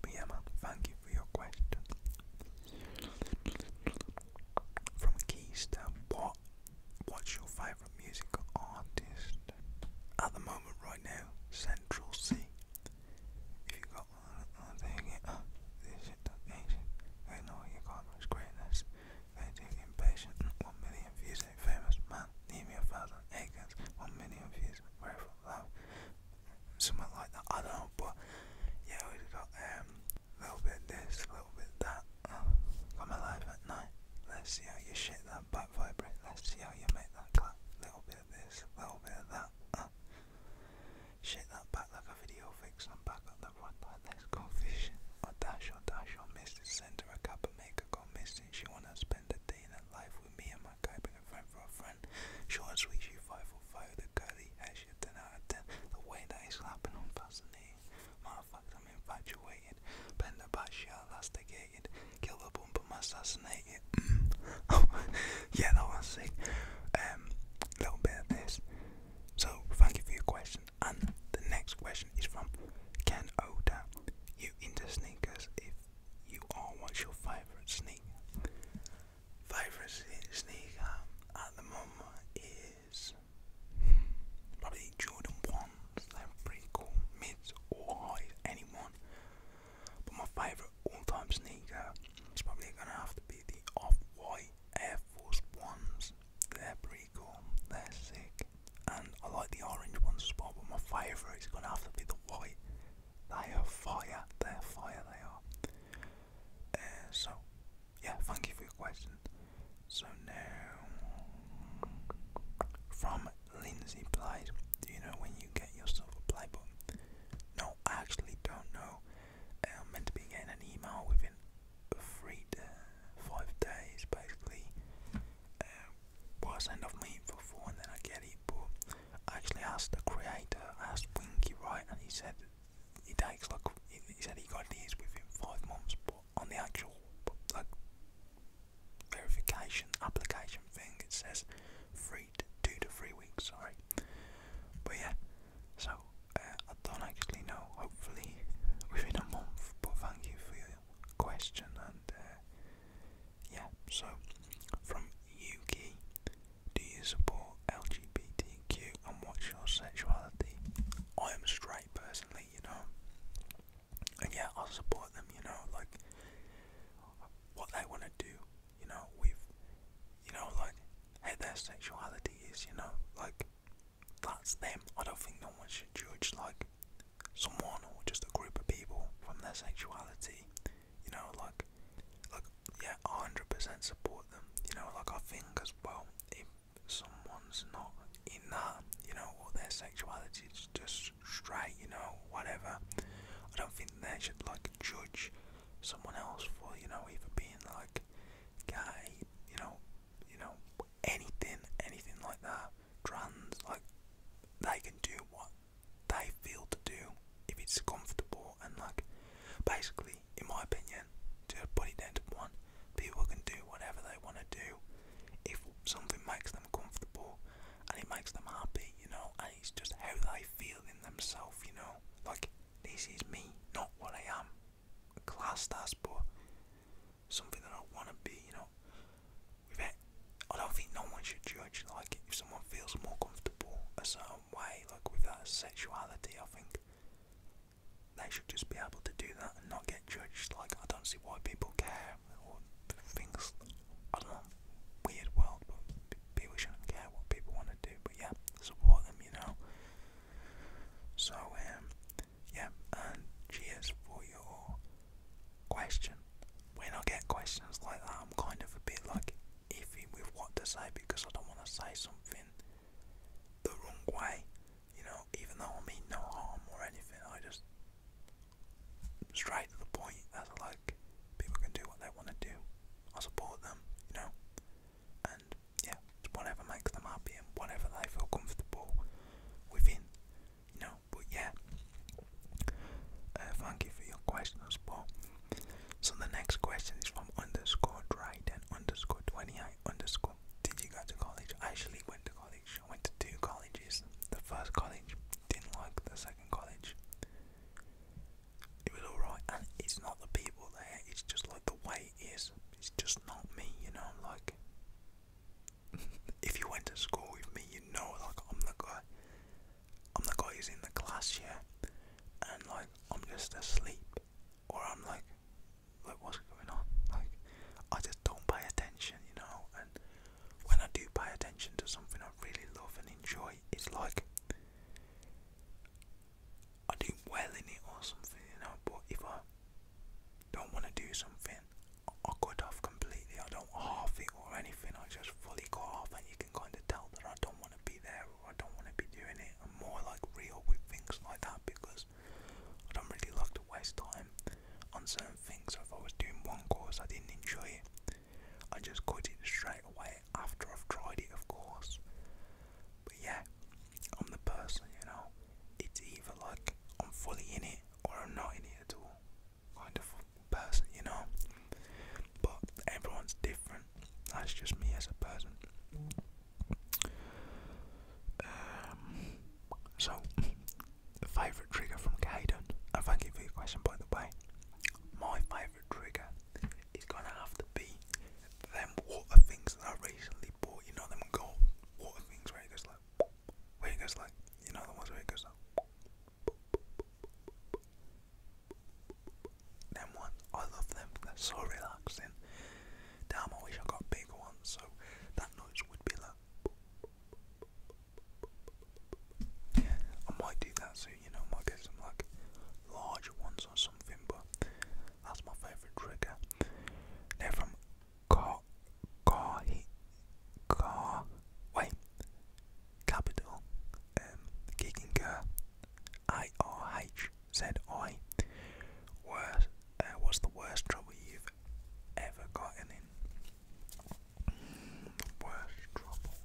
But yeah man, thank you for your question. From Keister, what what's your favourite music artist? At the moment right now, Central C you go on, thing this shit done ancient. I know you can't much greatness. They take impatient. Mm, one million views ain't famous, man. Leave me a thousand acres. One million views, where love? Something like that. I don't know, but yeah, we got a um, little bit this, a little bit that. Uh, got my life at night. Let's see how you shit that back vibrate. Let's see how you make that clap. Little bit of this, little bit of that. Uh, Shit that back like a video fix I'm back up the front line. Let's go fishing. Or dash or dash or miss it. Send her a cup and make her go missing. She wanna spend the day in her life with me and my guy. Bring a friend for a friend. Short and sweet, she five for five. The curly hair, she a ten out ten. The way that is slapping on fascinating. Matter of fact, I'm infatuated. Bend the back, she last the Mm. Oh, yeah, that was sick. Um, little So, thank you for your question. And the next question is from Ken Oda. You into sneakers? If you are, what's your favourite sneaker? Favourite sneaker at the moment is probably Jordan 1s. They're pretty cool. Mids or highs, anyone. But my favourite all-time sneaker is probably going to have to be the Off-White Air Force Ones. They're pretty cool. They're sick. And I like the orange ones spot. but my favourite is going to have to be the white. They are fire. They're fire. They are. Uh, so, yeah, thank you for your question. So now, from Lindsay Blythe. Do you know when you get yourself a Blythe But No, I actually don't know. Uh, I'm meant to be getting an email within three to five days, basically. Um, uh, I send off my info for and then I get it. But I actually asked the creator, asked Winky, right, and he said it takes like he said he got these within five months, but on the actual like verification application thing. It says three to two to three weeks. Sorry, but yeah. So uh, I don't actually know. Hopefully within a month. But thank you for your question and uh, yeah. So from UK, do you support LGBTQ and what's your sexuality? I am straight personally, you know. And yeah, I support them, you know, like what they want to do. You know, we've, you know, like, hey, their sexuality is, you know, like, that's them. I don't think no one should judge, like, someone or just a group of people from their sexuality. You know, like, like, yeah, 100% support them. You know, like, I think as well, if someone's not in that, you know, or their sexuality it's just straight, you know, whatever. I don't think they should like judge someone else for, you know, either being like gay, you know, you know, anything, anything like that. Trans, like they can do what they feel to do if it's comfortable and like basically in my opinion to put it down to one people can do whatever they want to do if something makes them comfortable and it makes them happy, you know, and it's just how they feel in themselves, you know, like this is me, not what I am, class that's but something that I want to be, you know. With Without, I don't think no one should judge, like if someone feels more comfortable a certain way, like with that sexuality, I think they should just be able to do that and not get judged. Like I don't see why people care things, I weird world, but people shouldn't care what people want to do, but yeah, support them, you know. So, um, yeah, and cheers for your question. When I get questions like that, I'm kind of a bit like iffy with what to say because I don't want to say something the wrong way, you know, even though I mean no harm or anything, I just straight to the point as like people can do what they want to do. I support them, you know, and yeah, whatever makes them happy and whatever they feel comfortable within, you know. But yeah, uh, thank you for your questions, Paul. So the next question is from underscore Dryden underscore Twenty I underscore. Did you go to college? I actually went to college. I went to two colleges. The first college didn't like the second college. It was alright, and it's not the people there, it's just like the way it is. It's just not me, you know. I'm like, if you went to school with me, you know, like I'm the guy, I'm the guy who's in the class, yeah, and like I'm just asleep, or I'm like, like what's going on? Like I just don't pay attention, you know, and when I do pay attention to something I really love and enjoy, it's like I do well in it or something, you know. But if I don't want to do something, I cut off completely. I don't half it or anything. I just fully cut off, and you can kind of tell that I don't want to be there or I don't want to be doing it. I'm more like real with things like that because I don't really like to waste time on certain things. So if I was doing one course, I didn't enjoy it. I just cut it straight away after I've tried it, of course. But yeah, I'm the person, you know. It's either like I'm fully in it or I'm not in it at all. Kind of person, you know. But everyone's different. That's just me as a person. Um, so favorite trigger from Caden. And thank you for your question, by the way. My favorite trigger is gonna have to be them water things that I recently bought. You know them gold water things where it goes like, where it goes like, you know the ones where it goes like. Them ones, I love them. They're so relaxing. Damn, I wish I got bigger ones so that noise would be like. I might do that soon, you know, might get some like larger ones or something, but that's my favourite trigger. They're from Car Wait Capital um Worst uh, what's the worst trouble you've ever gotten in? worst trouble.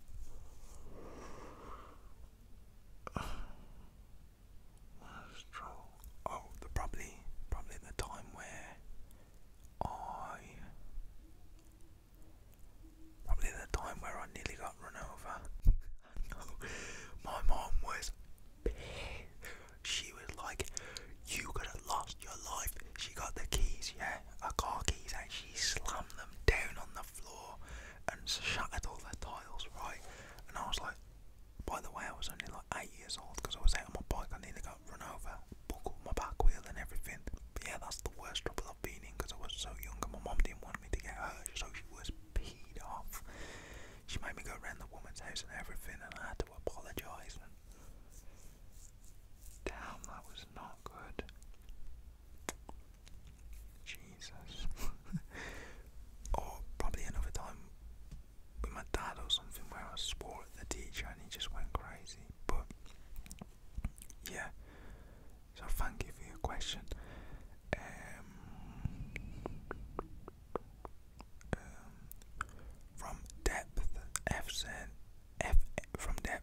Worst trouble. Oh, the probably, probably the time where I, probably the time where I nearly got run over. my mom was. She was like, You could to lost your life. She got the keys, yeah? her car keys and she slammed them down on the floor and shattered all the tiles, right? And I was like, by the way, I was only like eight years old because I was out on my bike. I nearly got run over, buckled my back wheel and everything. But yeah, that's the worst trouble I've been in because I was so young and my mom didn't want me to get hurt, so she was peed off. She made me go around the woman's house and everything, and I had to apologise. Damn, that was not good. Jesus. or probably another time with my dad or something where I swore at the teacher and he just went crazy. But yeah. So thank you for your question. Um, um from depth F from depth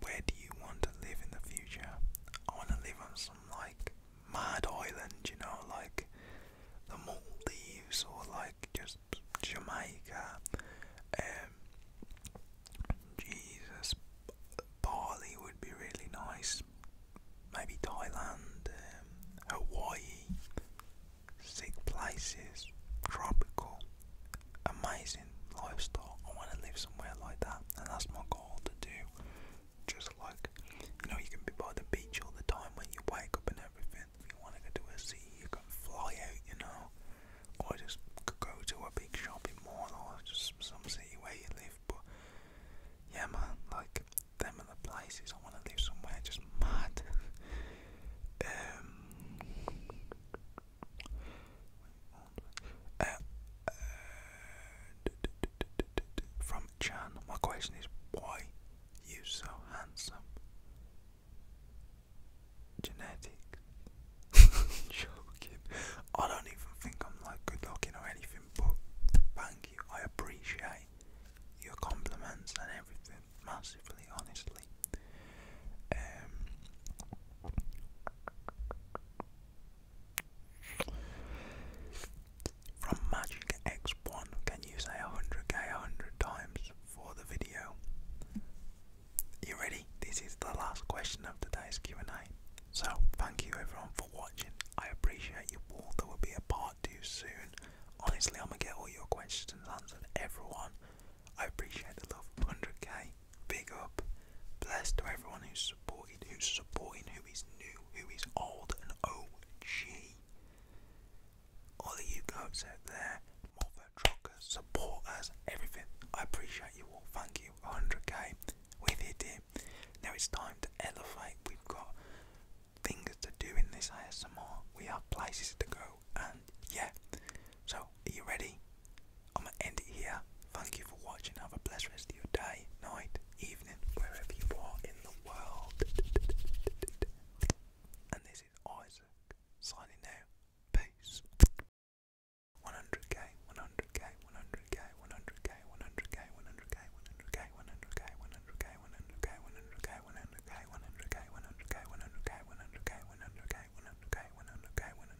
where do you want to live in the future? I want to live on some like mad island, you know, like the Maldives or like just Jamaica. Um, Jesus, Bali would be really nice. Maybe Thailand, um, Hawaii, sick places, tropical amazing lifestyle. I want to live somewhere like that, and that's my goal to do. Just like you know, you can be by the beach all the time when you wake up and everything. If you want to go to a sea, you can fly out, you know, or just go to a big shopping mall or just some city where you live. But yeah, man, like them are the places I want to live somewhere just mad. um, uh, uh, from my question is why you so handsome? Genetic. Joking. I don't even think I'm like good looking or anything, but thank you. I appreciate your compliments and everything massively, honestly. Um, from Magic X1, can you say 100k 100 times for the video? You ready? This is the last question of today's Q&A. So, thank you everyone for watching. I appreciate you all. There will be a part 2 soon. Honestly, I'm going to get all your questions answered, everyone. I appreciate the love. 100k Big up. Blessed to everyone who's supported, who's supporting, who is new, who is old, and OG. All of you goats out there, mother truckers, supporters, everything. I appreciate you all. Thank you. 100k. We've it. Now it's time to elevate. We've got things to do in this ASMR. We have places to go, and yeah. So, are you ready? I'm gonna end it here. Thank you for watching. Have a blessed rest of your day, night, evening, wherever you are in the world. And this is Isaac signing out. Peace. 100k, 100k, 100k, 100k, 100k, 100k, 100k, 100k, 100k, 100k, 100k, 100k, 100k, 100k, 100k, 100k, 100k, 100k, 100k,